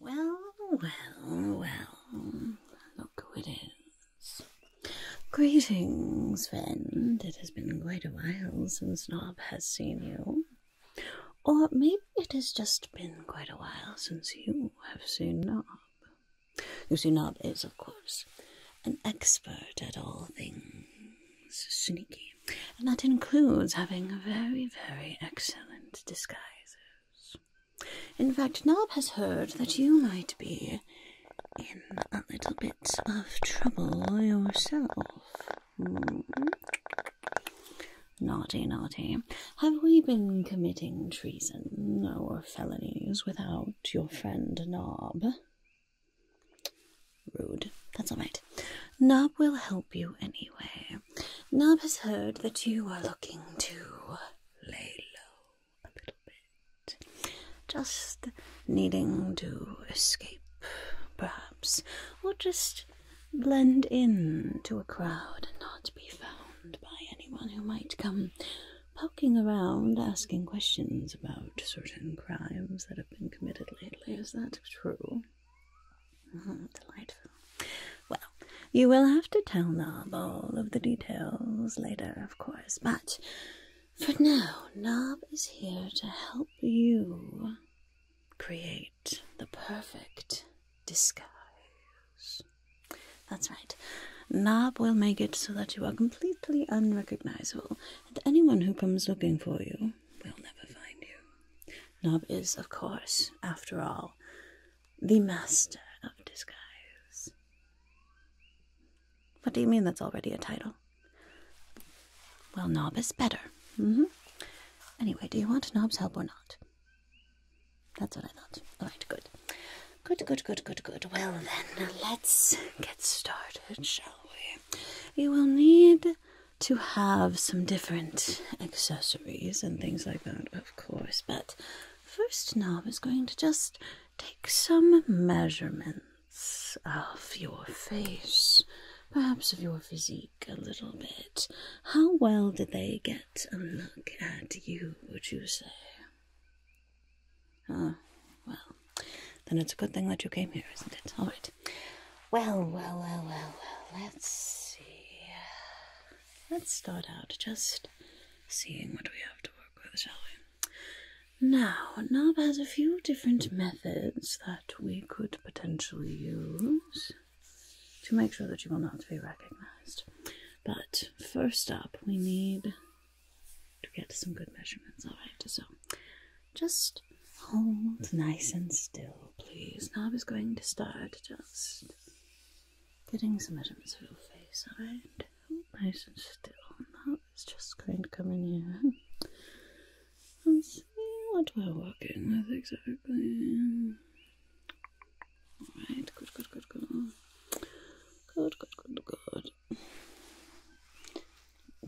Well, well, well, look who it is. Greetings, friend. It has been quite a while since Nob has seen you. Or maybe it has just been quite a while since you have seen Nob. You see, Nob is, of course, an expert at all things sneaky, and that includes having very, very excellent disguises. In fact, Nob has heard that you might be in a little bit of trouble yourself. Hmm. Naughty, naughty. Have we been committing treason or felonies without your friend Nob? Rude. That's all right. Nob will help you anyway you. has heard that you are looking to lay low a little bit. Just needing to escape, perhaps, or just blend in to a crowd and not be found by anyone who might come poking around asking questions about certain crimes that have been committed lately. Is that true? delightful. Well, you will have to tell Nob all of the details later, of course, but for now, Nob is here to help you create the perfect disguise. That's right. Nob will make it so that you are completely unrecognizable, and anyone who comes looking for you will never find you. Nob is, of course, after all, the master of disguise. What do you mean that's already a title? Well, Nob is better. hmm Anyway, do you want Nob's help or not? That's what I thought. All right, good. Good, good, good, good, good. Well, then, let's get started, shall we? You will need to have some different accessories and things like that of course, but first Nob is going to just take some measurements of your face, perhaps of your physique a little bit. How well did they get a look at you, would you say? Ah, well, then it's a good thing that you came here, isn't it? All right. Well, well, well, well, well, let's see let's start out just seeing what we have to work with, shall we? Now, Nob has a few different methods that we could potentially use to make sure that you will not be recognized. But first up, we need to get some good measurements. All right, so just hold nice and still, please. Nob is going to start just Getting some evidence of your face, alright? Nice and still. Now it's just going to come in here am seeing what we're working with exactly. Alright, good, good, good, good. Good, good, good, good.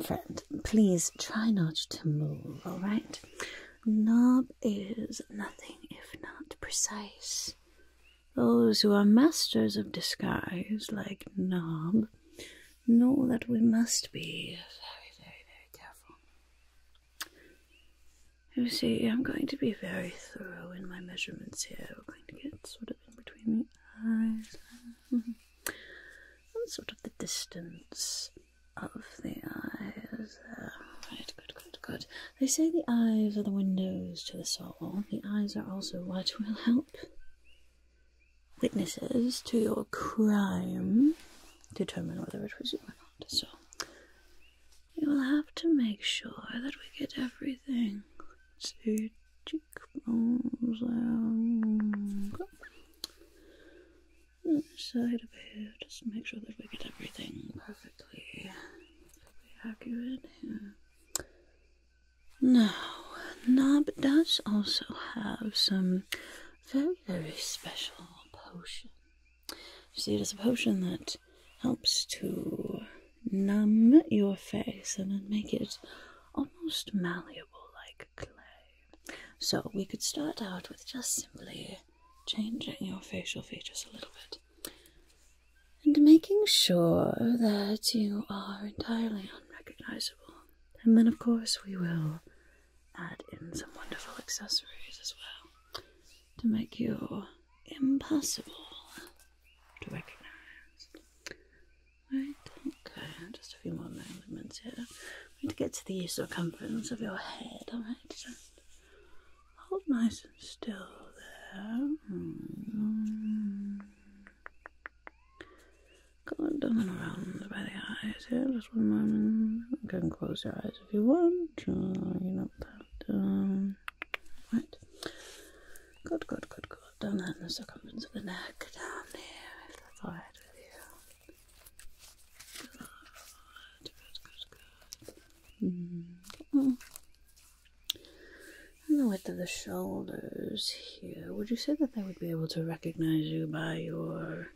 Friend, please try not to move, alright? Knob is nothing if not precise. Those who are masters of disguise, like Knob, know that we must be very, very, very careful. You see, I'm going to be very thorough in my measurements here. We're going to get sort of in between the eyes. and sort of the distance of the eyes. Uh, right, good, good, good. They say the eyes are the windows to the soul. The eyes are also what will help witnesses to your crime determine whether it was you or not. So, you will have to make sure that we get everything. see, cheekbones. Um, side of here, just make sure that we get everything perfectly, perfectly accurate here. Now, Nob does also have some very, very special potion. see, it is a potion that helps to numb your face and then make it almost malleable like clay. So we could start out with just simply changing your facial features a little bit and making sure that you are entirely unrecognizable. And then, of course, we will add in some wonderful accessories as well to make you impossible to recognize. Right, okay, just a few more movements here. We need to get to the circumference of your head, alright? Hold nice and still there. Mm. down and around the eyes here, just one moment. You can close your eyes if you want. you don't have to. Um, right. Good, good, good, good. Down that in the circumference of the neck, down here, Good, good, good, good. And the width of the shoulders here. Would you say that they would be able to recognize you by your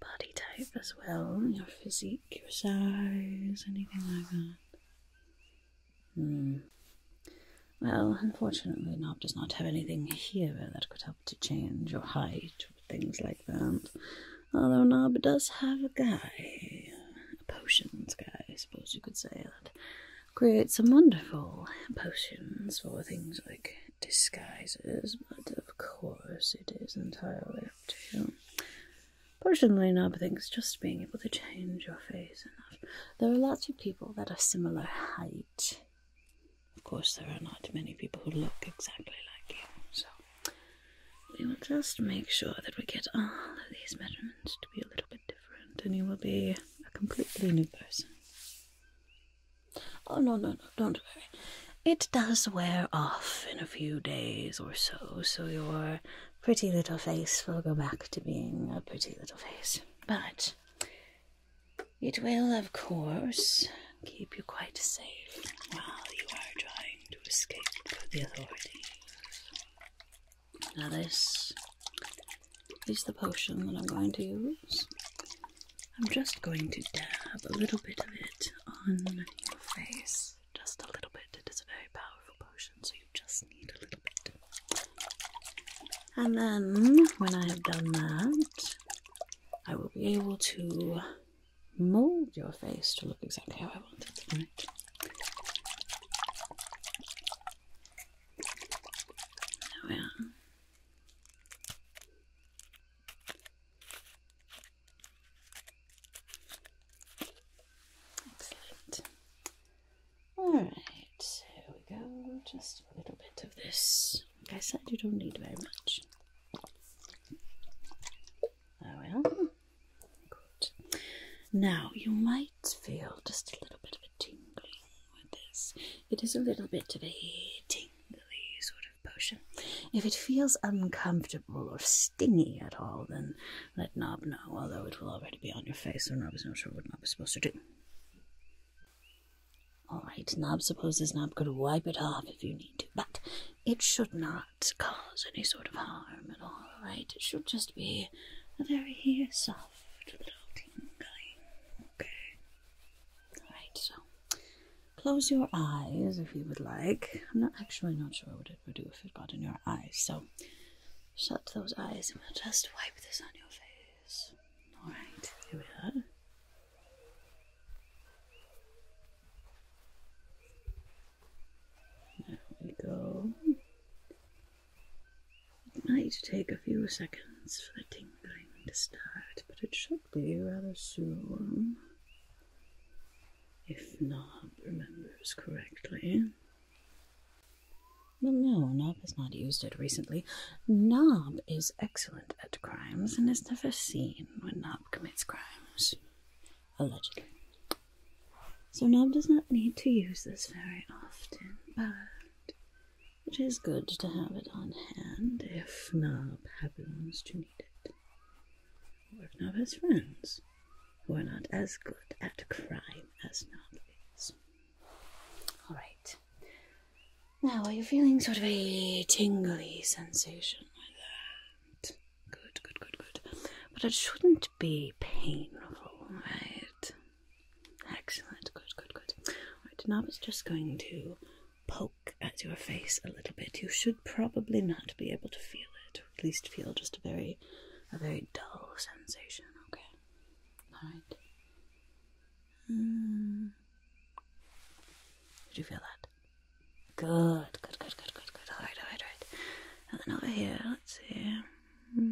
body type as well? Your physique, your size, anything like that? Hmm. Well, unfortunately, Nob does not have anything here that could help to change your height things like that. Although Nob does have a guy, a potions guy, I suppose you could say, that creates some wonderful potions for things like disguises, but of course it is entirely up to you. Personally, Nob thinks just being able to change your face enough. There are lots of people that are similar height. Of course, there are not many people who look exactly like you, so we will just make sure that we get all of these measurements to be a little bit different, and you will be a completely new person. Oh, no, no, no, don't worry. It does wear off in a few days or so, so your pretty little face will go back to being a pretty little face. But it will, of course, keep you quite safe while you are trying to escape the authorities. Now this is the potion that I'm going to use. I'm just going to dab a little bit of it on your face. Just a little bit. It is a very powerful potion, so you just need a little bit. And then, when I have done that, I will be able to mold your face to look exactly how I want it. Right. There Excellent. Alright, here we go. Just a little bit of this. Like I said, you don't need very much. Oh well. Good. Now you might feel just a little bit of a tingling with this. It is a little bit of a tingly sort of potion. If it feels uncomfortable or stingy at all, then let Nob know, although it will already be on your face, so Nob is not sure what Nob is supposed to do. Alright, Nob supposes Nob could wipe it off if you need to, but it should not cause any sort of harm at all, right? It should just be a very soft little tingling, okay? Alright, so close your eyes if you would like. I'm not actually not sure what it would do if it got in your eyes, so shut those eyes and we'll just wipe this on your face. Alright, here we are. There we go. It might take a few seconds for the tingling to start, but it should be rather soon. If Nob remembers correctly. Well, no, Nob has not used it recently. Nob is excellent at crimes and is never seen when Nob commits crimes. Allegedly. So Nob does not need to use this very often, but it is good to have it on hand if Nob happens to need it. Or if Nob has friends who are not as good at crime as Nob is. Alright. Now, are you feeling sort of a tingly sensation like that? Good, good, good, good. But it shouldn't be painful, right? Excellent. Good, good, good. Alright, now it's just going to poke at your face a little bit. You should probably not be able to feel it, or at least feel just a very a very dull sensation, okay? Alright. Hmm. Did you feel that? Good, good, good, good, good, good. Alright, alright, alright. And then over here, let's see. Hmm.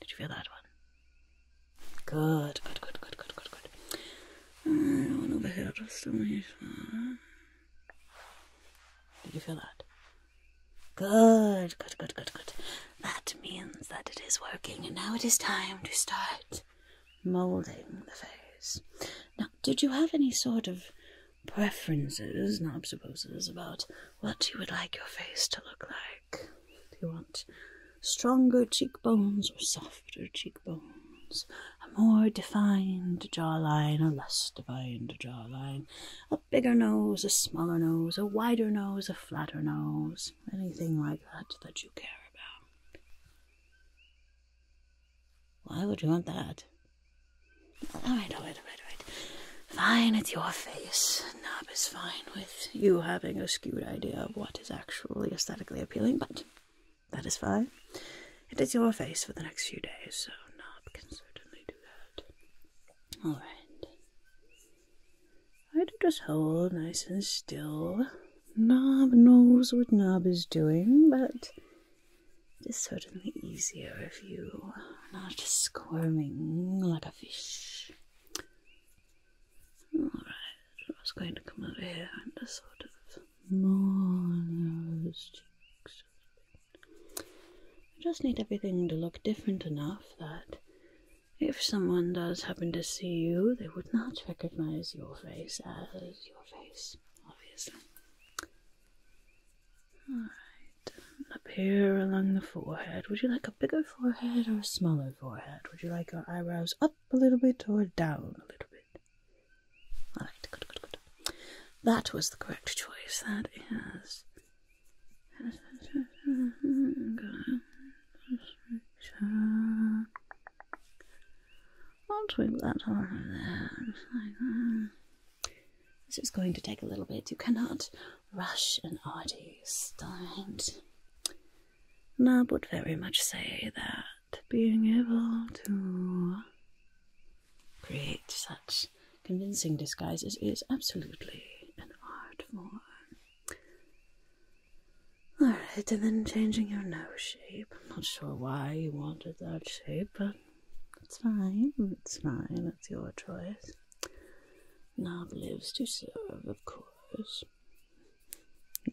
Did you feel that one? Good, good, good, good, good, good, good. Hmm, and one over here, just over here. Did you feel that? Good, good, good, good, good. That means that it is working, and now it is time to start moulding the face. Now, did you have any sort of preferences, not supposes, about what you would like your face to look like? Do you want stronger cheekbones or softer cheekbones? A more defined jawline, a less defined jawline, a bigger nose, a smaller nose, a wider nose, a flatter nose, anything like that that you care about. Why would you want that? All right, all right, all right, all right. Fine, it's your face. Nob is fine with you having a skewed idea of what is actually aesthetically appealing, but that is fine. It is your face for the next few days, so Nob can certainly do that. All right. I do just hold nice and still? Nob knows what Nob is doing, but it is certainly easier if you are not squirming like a fish. Alright, I was going to come over here and sort of I just need everything to look different enough that if someone does happen to see you, they would not recognize your face as your face obviously. Alright, up here along the forehead. Would you like a bigger forehead or a smaller forehead? Would you like your eyebrows up a little bit or down a little bit? That was the correct choice. That is. I'll twig that over there, This is going to take a little bit. You cannot rush an artist, do I would very much say that being able to create such convincing disguises is absolutely an art form. Alright, and then changing your nose shape. I'm not sure why you wanted that shape, but it's fine. It's fine. It's your choice. Knob lives to serve, of course.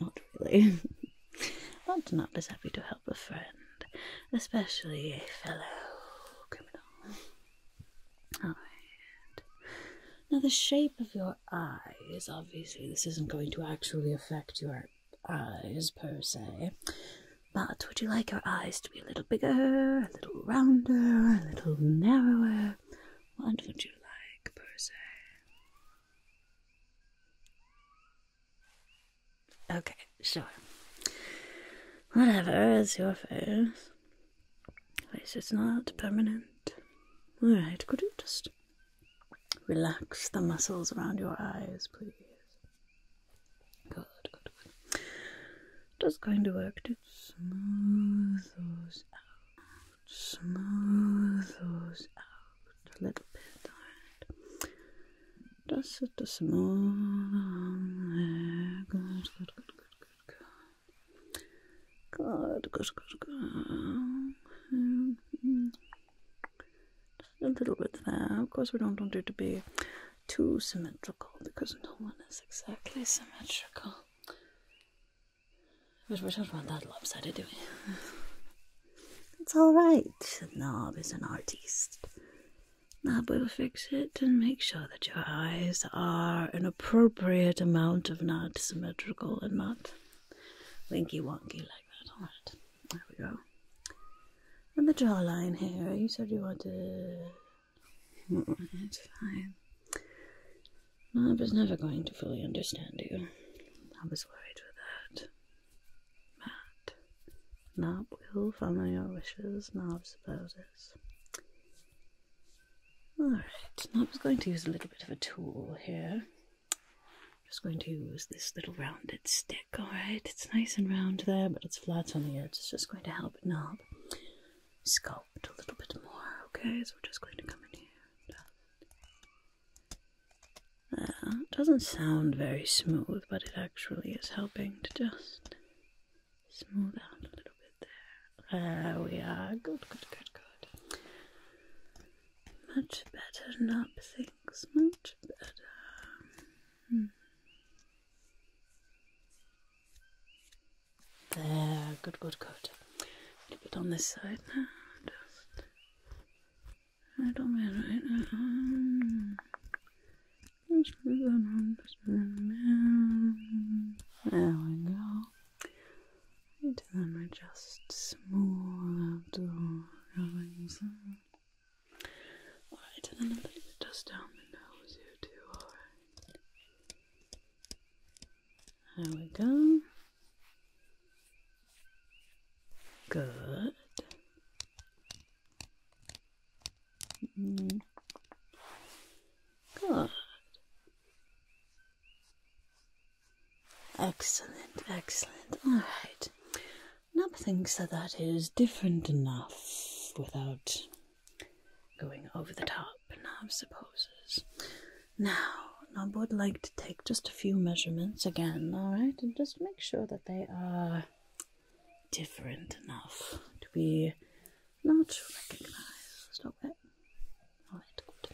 Not really. but Knob is happy to help a friend, especially a fellow criminal. Now, the shape of your eyes, obviously, this isn't going to actually affect your eyes per se, but would you like your eyes to be a little bigger, a little rounder, a little narrower? What would you like per se? Okay, sure. Whatever is your face. Face It's not permanent. Alright, could you just Relax the muscles around your eyes, please. Good, good, good. Just going to work to smooth those out. Smooth those out a little bit. All right. Just sit the small arm Good, good, good, good, good, good. Good, good, good, just a little bit there. Of course, we don't want it to be too symmetrical because no one is exactly symmetrical. But we don't want that lopsided, do we? it's alright. Knob is an artist. Knob will fix it and make sure that your eyes are an appropriate amount of not symmetrical and not winky wonky like that. Alright. There we go. And the jawline here. You said you wanted. It's hmm. mm, fine. I was never going to fully understand you. I was worried for that. Matt. Not will follow your wishes, Nob supposes. Alright, Nob's going to use a little bit of a tool here. I'm just going to use this little rounded stick, alright? It's nice and round there, but it's flat on the edge. It's just going to help it knob sculpt a little bit more, okay? So we're just going to come in here. doesn't sound very smooth, but it actually is helping to just smooth out a little bit there. There we are. Good, good, good, good much better knob things, much better. Hmm. There, good, good, good. A little bit on this side now, just right on me right now. Just move on, just move There we go. And then we just smooth out the Alright, and then a little bit just down the nose here too, alright. There we go. Good. Mm-hmm. Good. Excellent, excellent. All right. Nob thinks that that is different enough without going over the top, Nub supposes. Now, Nob would like to take just a few measurements again, all right, and just make sure that they are different enough to be not recognized. Okay. All right, good.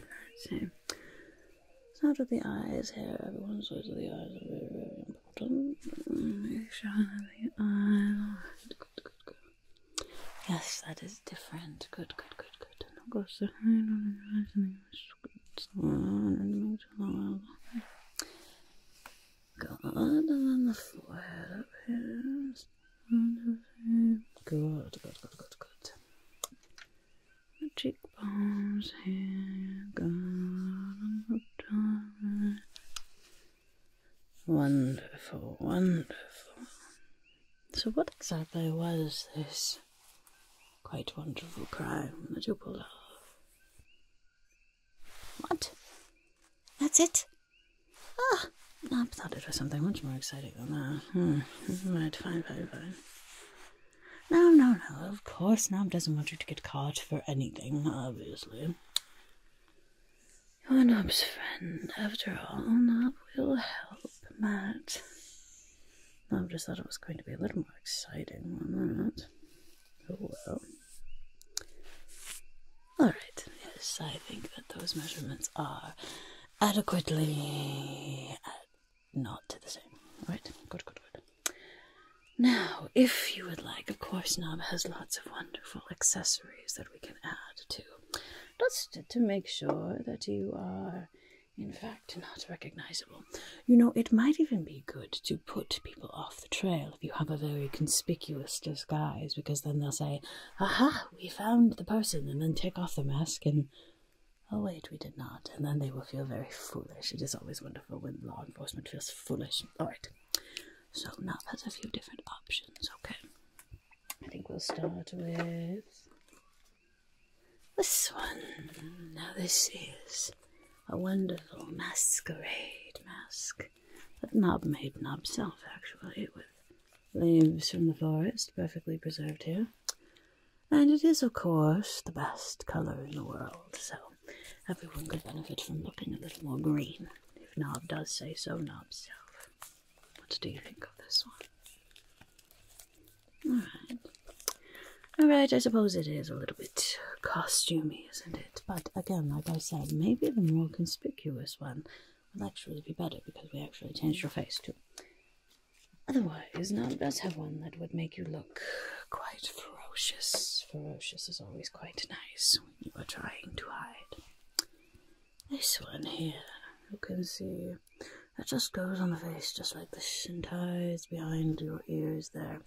All right, so Start with the eyes here. Everyone's always with the eyes are very, very important. Make sure the eyes. Good, good, good. Yes, that is different. Good, good, good, good. And I'll go so high on the eyes and then just and Good. And then the forehead up here. Good, good, good, good, good the cheekbones here, got Wonderful, wonderful. So, what exactly was this quite wonderful crime that you pulled off? What? That's it? Ah, I thought it was something much more exciting than that. Hmm. Right, fine, no, no, no, of course, Nob doesn't want you to get caught for anything, obviously. You're Nob's friend, after all. Nob will help, Matt. I just thought it was going to be a little more exciting than that. Oh well. Alright, yes, I think that those measurements are adequately not to the same. Right? Good, good, good. Now, if you would like, of course, Nob has lots of wonderful accessories that we can add to, just to make sure that you are, in fact, not recognizable. You know, it might even be good to put people off the trail if you have a very conspicuous disguise, because then they'll say, aha, we found the person, and then take off the mask and Oh, wait, we did not. And then they will feel very foolish. It is always wonderful when law enforcement feels foolish. Alright, so now that's a few different options, okay? I think we'll start with this one. Now, this is a wonderful masquerade mask that Knob made Knobself actually, with leaves from the forest, perfectly preserved here. And it is, of course, the best color in the world, so everyone could benefit from looking a little more green, if Nob does say so, Nob self. What do you think of this one? Alright. Alright, I suppose it is a little bit costumey, isn't it? But again, like I said, maybe the more conspicuous one would actually be better because we actually change your face too. Otherwise, now does have one that would make you look quite ferocious. Ferocious is always quite nice when you are trying to hide. This one here, you can see it just goes on the face just like the and ties behind your ears there.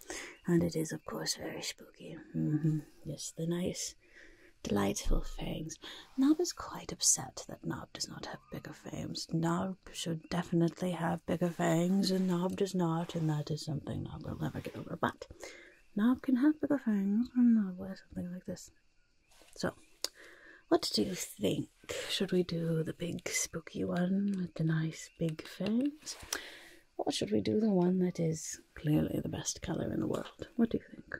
And it is, of course, very spooky. Mm-hmm. Yes, the nice, delightful fangs. Nob is quite upset that Nob does not have bigger fangs. Nob should definitely have bigger fangs, and Nob does not, and that is something Nob will never get over. But Nob can have bigger fangs, and Nob wear something like this. So, what do you think? Should we do the big spooky one with the nice big fangs? Or should we do the one that is clearly the best colour in the world? What do you think?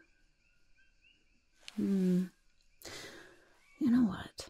Hmm. You know what?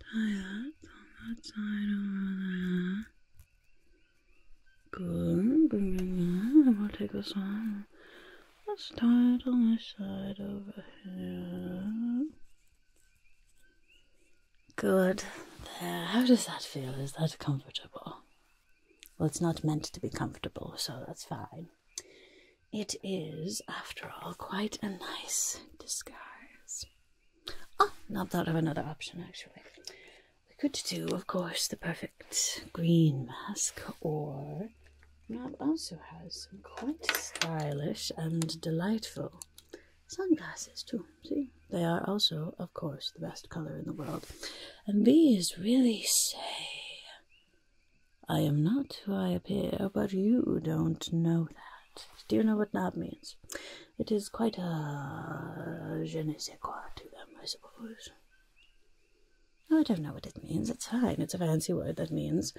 Tie that on that side over there. Good, good, good. And we'll take this one. Let's tie on this side over here. Good. There. How does that feel? Is that comfortable? Well, it's not meant to be comfortable, so that's fine. It is, after all, quite a nice disguise. Ah, not thought of another option, actually. We could do, of course, the perfect green mask, or Rob also has some quite stylish and delightful sunglasses, too. See, they are also, of course, the best color in the world. And these really say I am not who I appear, but you don't know that. Do you know what that means? It is quite a je ne sais quoi to them, I suppose. I don't know what it means. It's fine. It's a fancy word that means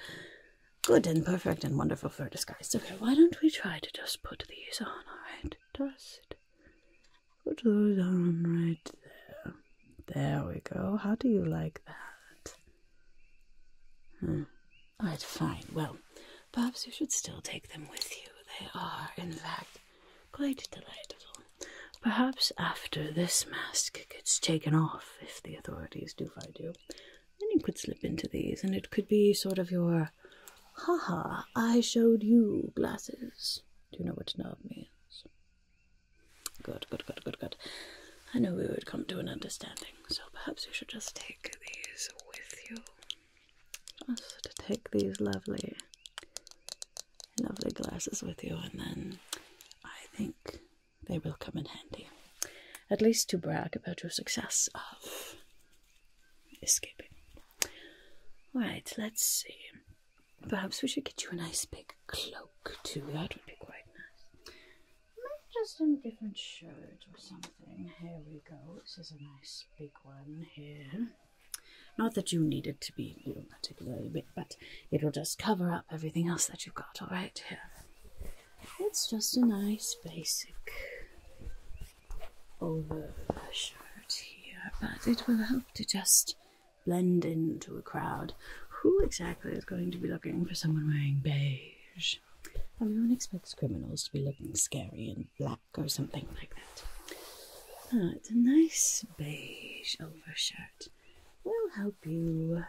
good and perfect and wonderful for disguise. Okay, why don't we try to just put these on, alright? Just put those on right there. There we go. How do you like that? Hmm. All right, fine. Well, perhaps you should still take them with you. They are, in fact, quite delightful. Perhaps after this mask gets taken off, if the authorities do find you, then you could slip into these, and it could be sort of your ha ha! I showed you glasses. Do you know what snob means? Good, good, good, good, good. I know we would come to an understanding, so perhaps you should just take these with you. Just take these lovely, lovely glasses with you, and then I think they will come in handy. At least to brag about your success of escaping. All let's see. Perhaps we should get you a nice big cloak too. That would be quite nice. Maybe just in different shirt or something. Here we go. This is a nice big one here. Not that you need it to be you know, particularly big, but it'll just cover up everything else that you've got, alright? Here. It's just a nice basic over shirt here, but it will help to just blend into a crowd. Who exactly is going to be looking for someone wearing beige? much. Everyone expects criminals to be looking scary and black or something like that. Ah, it's a nice beige overshirt. Will help you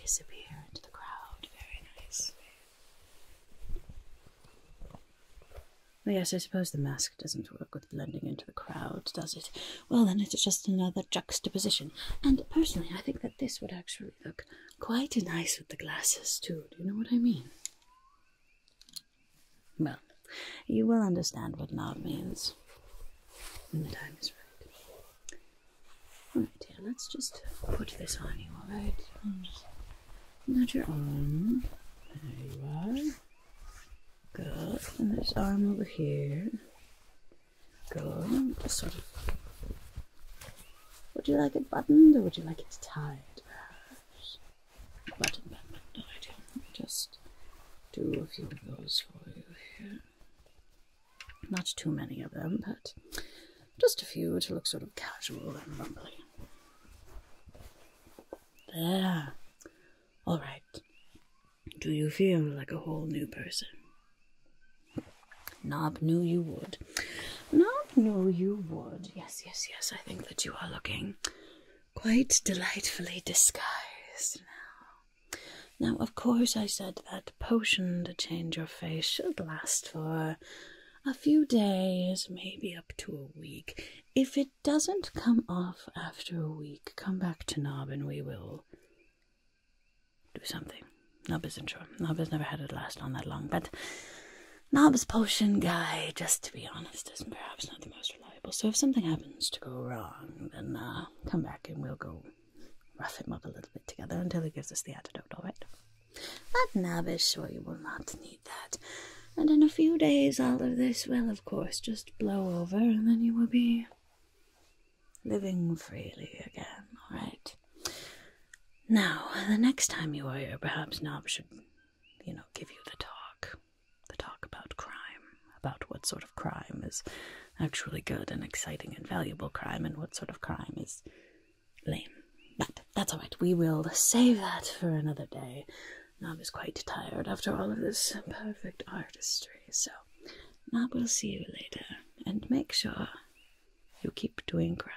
disappear into the crowd. Very nice. yes, I suppose the mask doesn't work with blending into the crowd, does it? Well, then it's just another juxtaposition. And personally, I think that this would actually look quite nice with the glasses, too. Do you know what I mean? Well, you will understand what now means when the time is right. Alright, here, let's just put this on you, alright? Not your arm. There you are. Good. And this arm over here going Would you like it buttoned or would you like it tied? Button, button, tied. Just do a few of those for you here. Not too many of them, but just a few to look sort of casual and rumbly. There. All right. Do you feel like a whole new person? Nob knew you would. Nob knew you would. Yes, yes, yes. I think that you are looking quite delightfully disguised now. Now, of course, I said that potion to change your face should last for a few days, maybe up to a week. If it doesn't come off after a week, come back to Nob and we will do something. Nub isn't sure. Nub has never had it last on that long, but Nob's potion guy, just to be honest, is perhaps not the most reliable. So if something happens to go wrong, then uh, come back and we'll go rough him up a little bit together until he gives us the antidote, all right? But Nob is sure you will not need that. And in a few days, all of this will, of course, just blow over, and then you will be living freely again, all right? Now, the next time you are here, perhaps Nob should, you know, give you the talk. The talk about crime, about what sort of crime is actually good and exciting and valuable crime, and what sort of crime is lame. But that's all right. We will save that for another day. Nob is quite tired after all of this perfect artistry, so Nob will see you later, and make sure you keep doing crime.